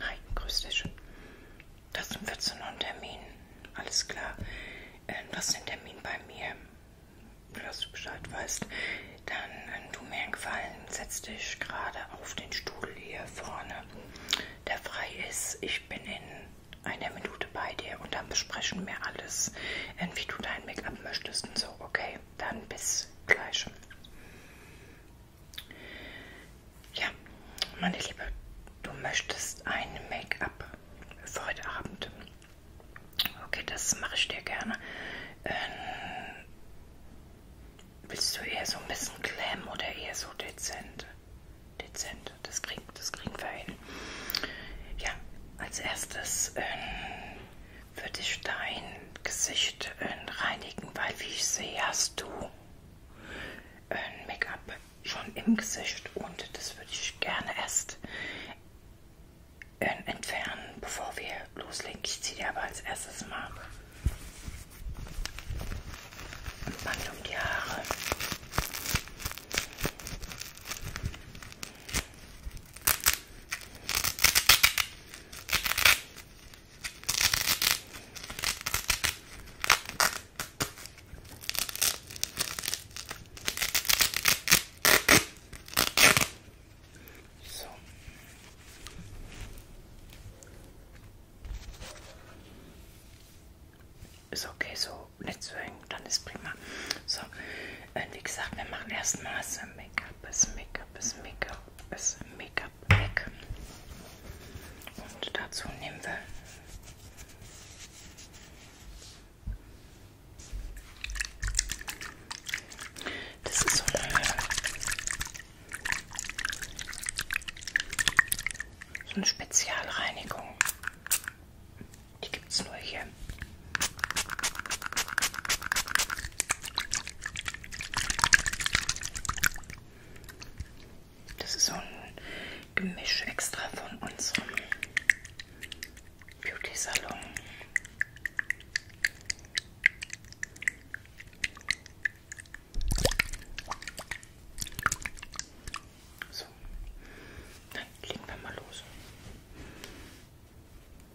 Hi, grüß dich. Da sind wir zu einem Termin. Alles klar. Ähm, du hast den Termin bei mir. Dass du Bescheid weißt. Dann ähm, tu mir einen Gefallen. Setz dich gerade auf den Stuhl hier vorne, der frei ist. Ich bin in einer Minute bei dir und dann besprechen wir alles, ähm, wie du dein Make-up möchtest und so. Okay, dann bis gleich. Ja, meine Liebe, du möchtest ein Make-up für heute Abend. Okay, das mache ich dir gerne. Ähm, willst du eher so ein bisschen Glam oder eher so dezent? Dezent, das kriegen, das kriegen wir hin. Ja, als erstes ähm, würde ich dein Gesicht äh, reinigen, weil wie ich sehe, hast du äh, Make-up schon im Gesicht und das würde ich gerne erst äh, entfernen, bevor wir loslegen. Ich ziehe dir aber als erstes mal ein Band um die Haare. So. Ist okay, so nicht zu hängen, dann ist prima. So, und äh, wie gesagt, wir machen erstmal das Make-up, das Make-up, das Make-up auch das Make-up weg. Und dazu nehmen wir das ist so eine, so eine Spezialreinigung. Die gibt es nur hier. Das ist so ein Gemisch extra von unserem Beauty Salon. So, dann legen wir mal los.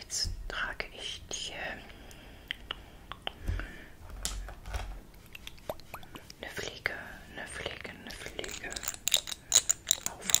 Jetzt trage ich dir eine Fliege, eine Fliege, eine Fliege auf.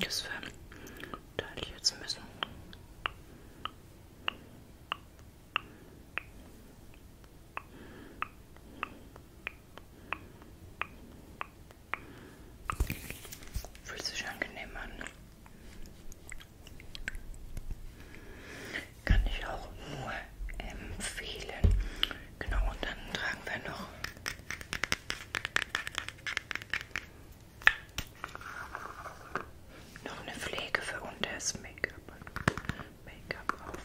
Das verteile ich jetzt ein bisschen. Fühlt sich angenehm an. Kann ich auch nur empfehlen. Genau, und dann tragen wir noch noch eine Pflege für unter das Make-up. Make-up auf.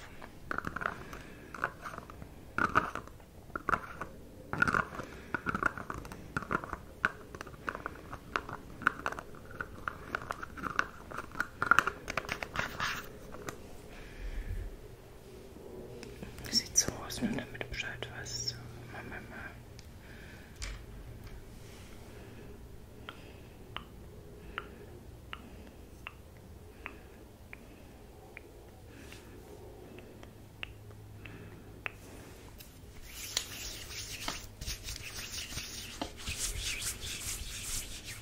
Sieht so aus, nur damit Bescheid weißt. Mama, Mama. Hm.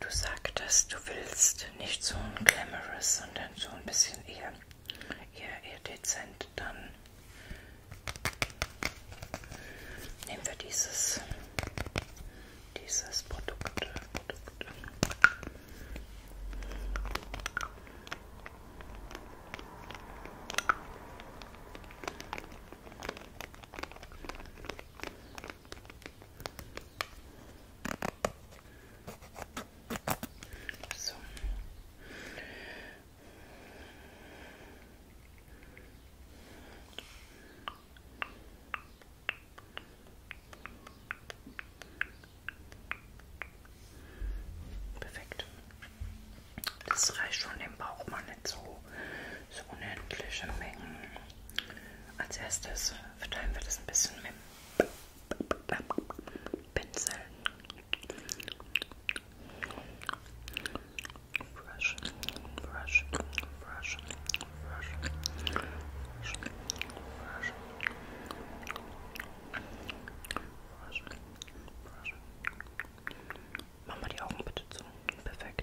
Du sagtest, du willst nicht so ein glamorous, sondern so ein bisschen eher, eher, eher dezent. Dann nehmen wir dieses, dieses Produkt. Produkt. So. Perfekt. Das reicht schon, den braucht man nicht so, so unendliche Mengen. Als erstes verteilen wir das ein bisschen mit Pinsel. Brush, brush, brush, brush, brush, brush. Brush, brush. Mach mal die Augen bitte zu. Perfekt.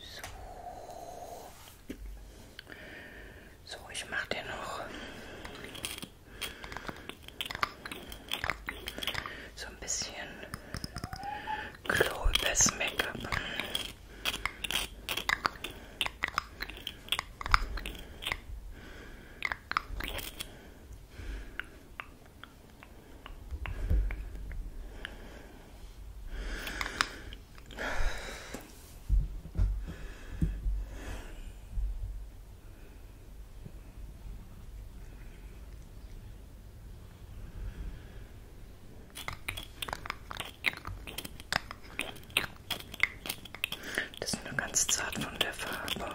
So. so, ich mache dir noch so ein bisschen Klo übers Make-up. Das ist nur ganz zart von der Farbe.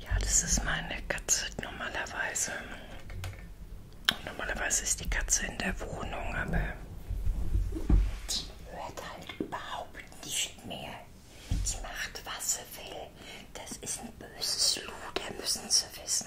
Ja, das ist meine Katze normalerweise. Normalerweise ist die Katze in der Wohnung, aber die hört halt überhaupt nicht mehr. Die macht, was sie will. Das ist ein böses Luder, müssen sie wissen.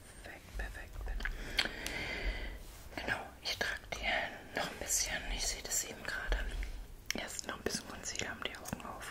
Perfekt, perfekt. Genau, ich trage dir noch ein bisschen, ich sehe das eben gerade. Erst noch ein bisschen Concealer um die Augen auf.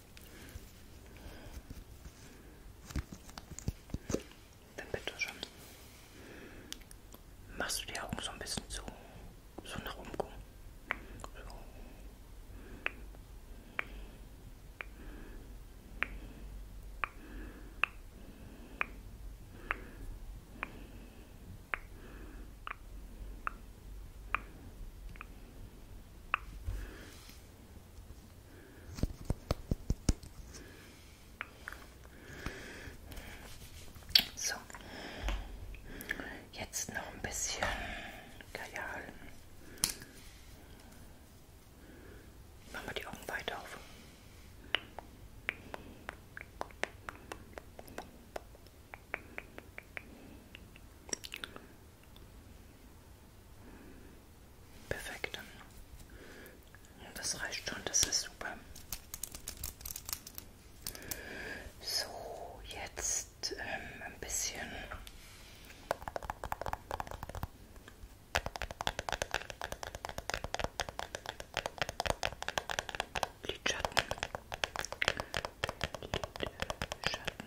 Dann bitte schon. Machst du die Augen so ein bisschen zu, so nach oben gucken. So. So, jetzt noch ein bisschen Kajal. Machen wir die Augen weit auf. Perfekt. Das reicht schon, das ist super. So, jetzt ähm, ein bisschen. Lidschatten. Lidschatten.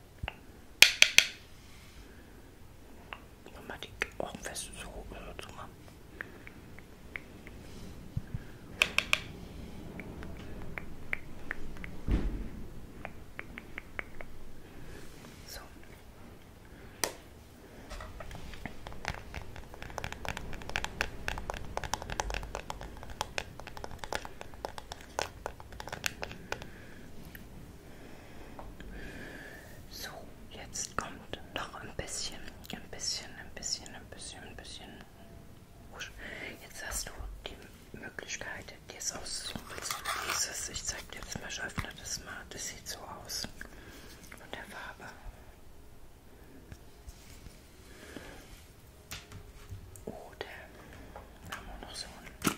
Nochmal die Augen fest so zu machen. So. So, jetzt kommt noch ein bisschen, ein bisschen, ein bisschen, ein bisschen, ein bisschen. Jetzt hast du die Möglichkeit, dir es auszubrechen. Dieses, ich zeig dir jetzt mal, ich öffne das mal. Das sieht so aus. Von der Farbe. Oder oh, haben wir noch so einen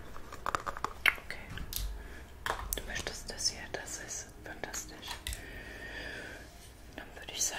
Okay. Du möchtest das hier, das ist fantastisch. Dann würde ich sagen.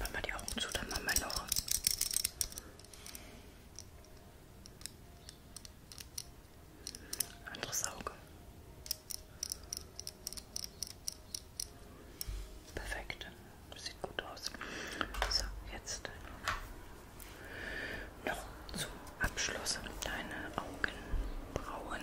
Mach mal die Augen zu, dann machen wir noch. Anderes Auge. Perfekt. Sieht gut aus. So, jetzt noch zum Abschluss deine Augenbrauen.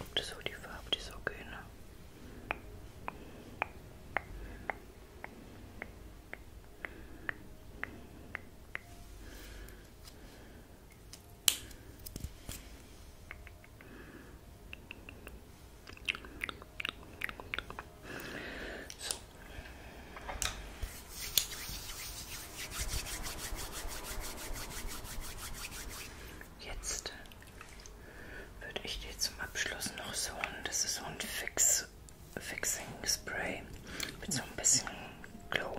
Ob das so die Farbe, die so gehen. So. Jetzt würde ich dir zum Abschluss noch so ein, das ist so ein Fix, Fixing Spray mit so ein bisschen Glow.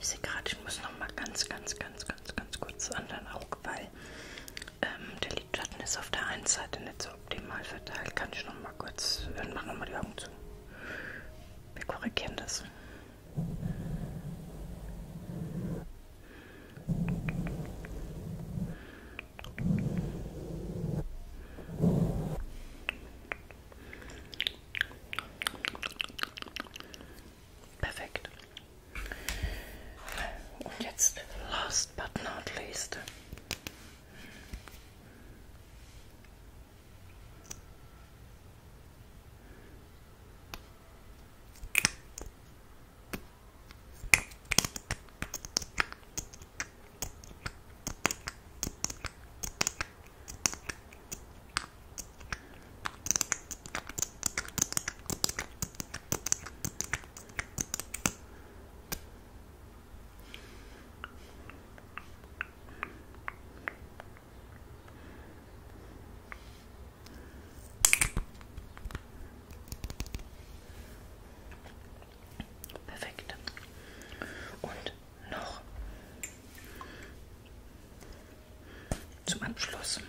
Ich sehe gerade, ich muss noch mal ganz, ganz, ganz, ganz, ganz kurz zu anderen Auge, weil ähm, der Lidschatten ist auf der einen Seite nicht so optimal verteilt. Kann ich noch mal kurz, äh, mach noch mal die Augen zu. Wir korrigieren das. Perfect. Und jetzt, last but not least. Perfekt. Und noch zum Abschluss.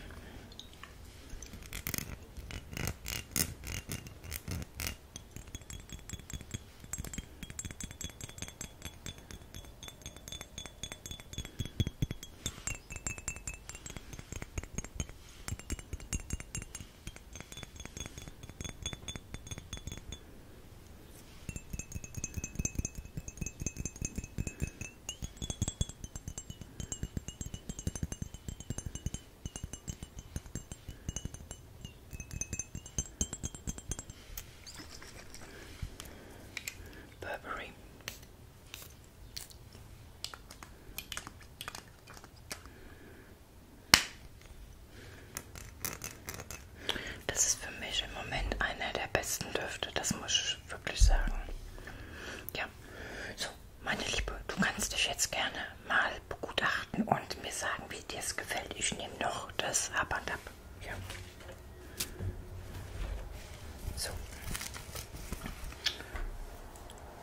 Burberry. Das ist für mich im Moment einer der besten Düfte, das muss ich ich wirklich sagen. Ja, so, meine Liebe, du kannst dich jetzt gerne mal begutachten und mir sagen, wie dir es gefällt. Ich nehme noch das Ab und Ab. Ja. So.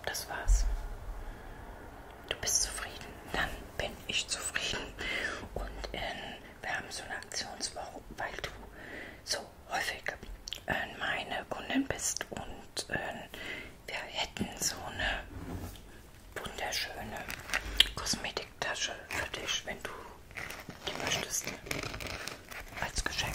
Das war's. Du bist zufrieden, dann bin ich zufrieden. Und in ähm, wir haben so eine Aktionswoche, weil du so häufig äh, meine Kundin bist und äh, wir hätten so eine wunderschöne Kosmetiktasche für dich, wenn du die möchtest, als Geschenk.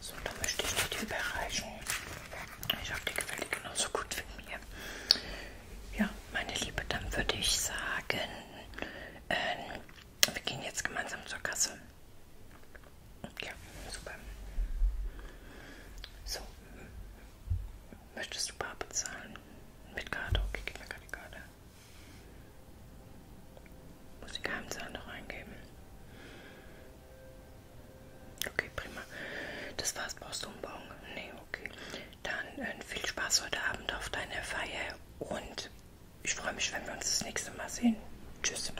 So, da möchte ich nicht überreichen. Ich habe die Quelle genauso gut wie mir. Ja, meine Liebe, dann würde ich sagen, ähm, wir gehen jetzt gemeinsam zur Kasse. Ja, super. So, möchtest du bar bezahlen? Mit Karte? Okay, gib mir keine Karte. Muss die Geheimzahl noch eingeben? Okay, prima. Das war's, brauchst du einen Bon? Nee, okay. Dann äh, viel Spaß heute Abend auf deiner Feier und ich freue mich, wenn wir uns das nächste Mal sehen. Tschüss.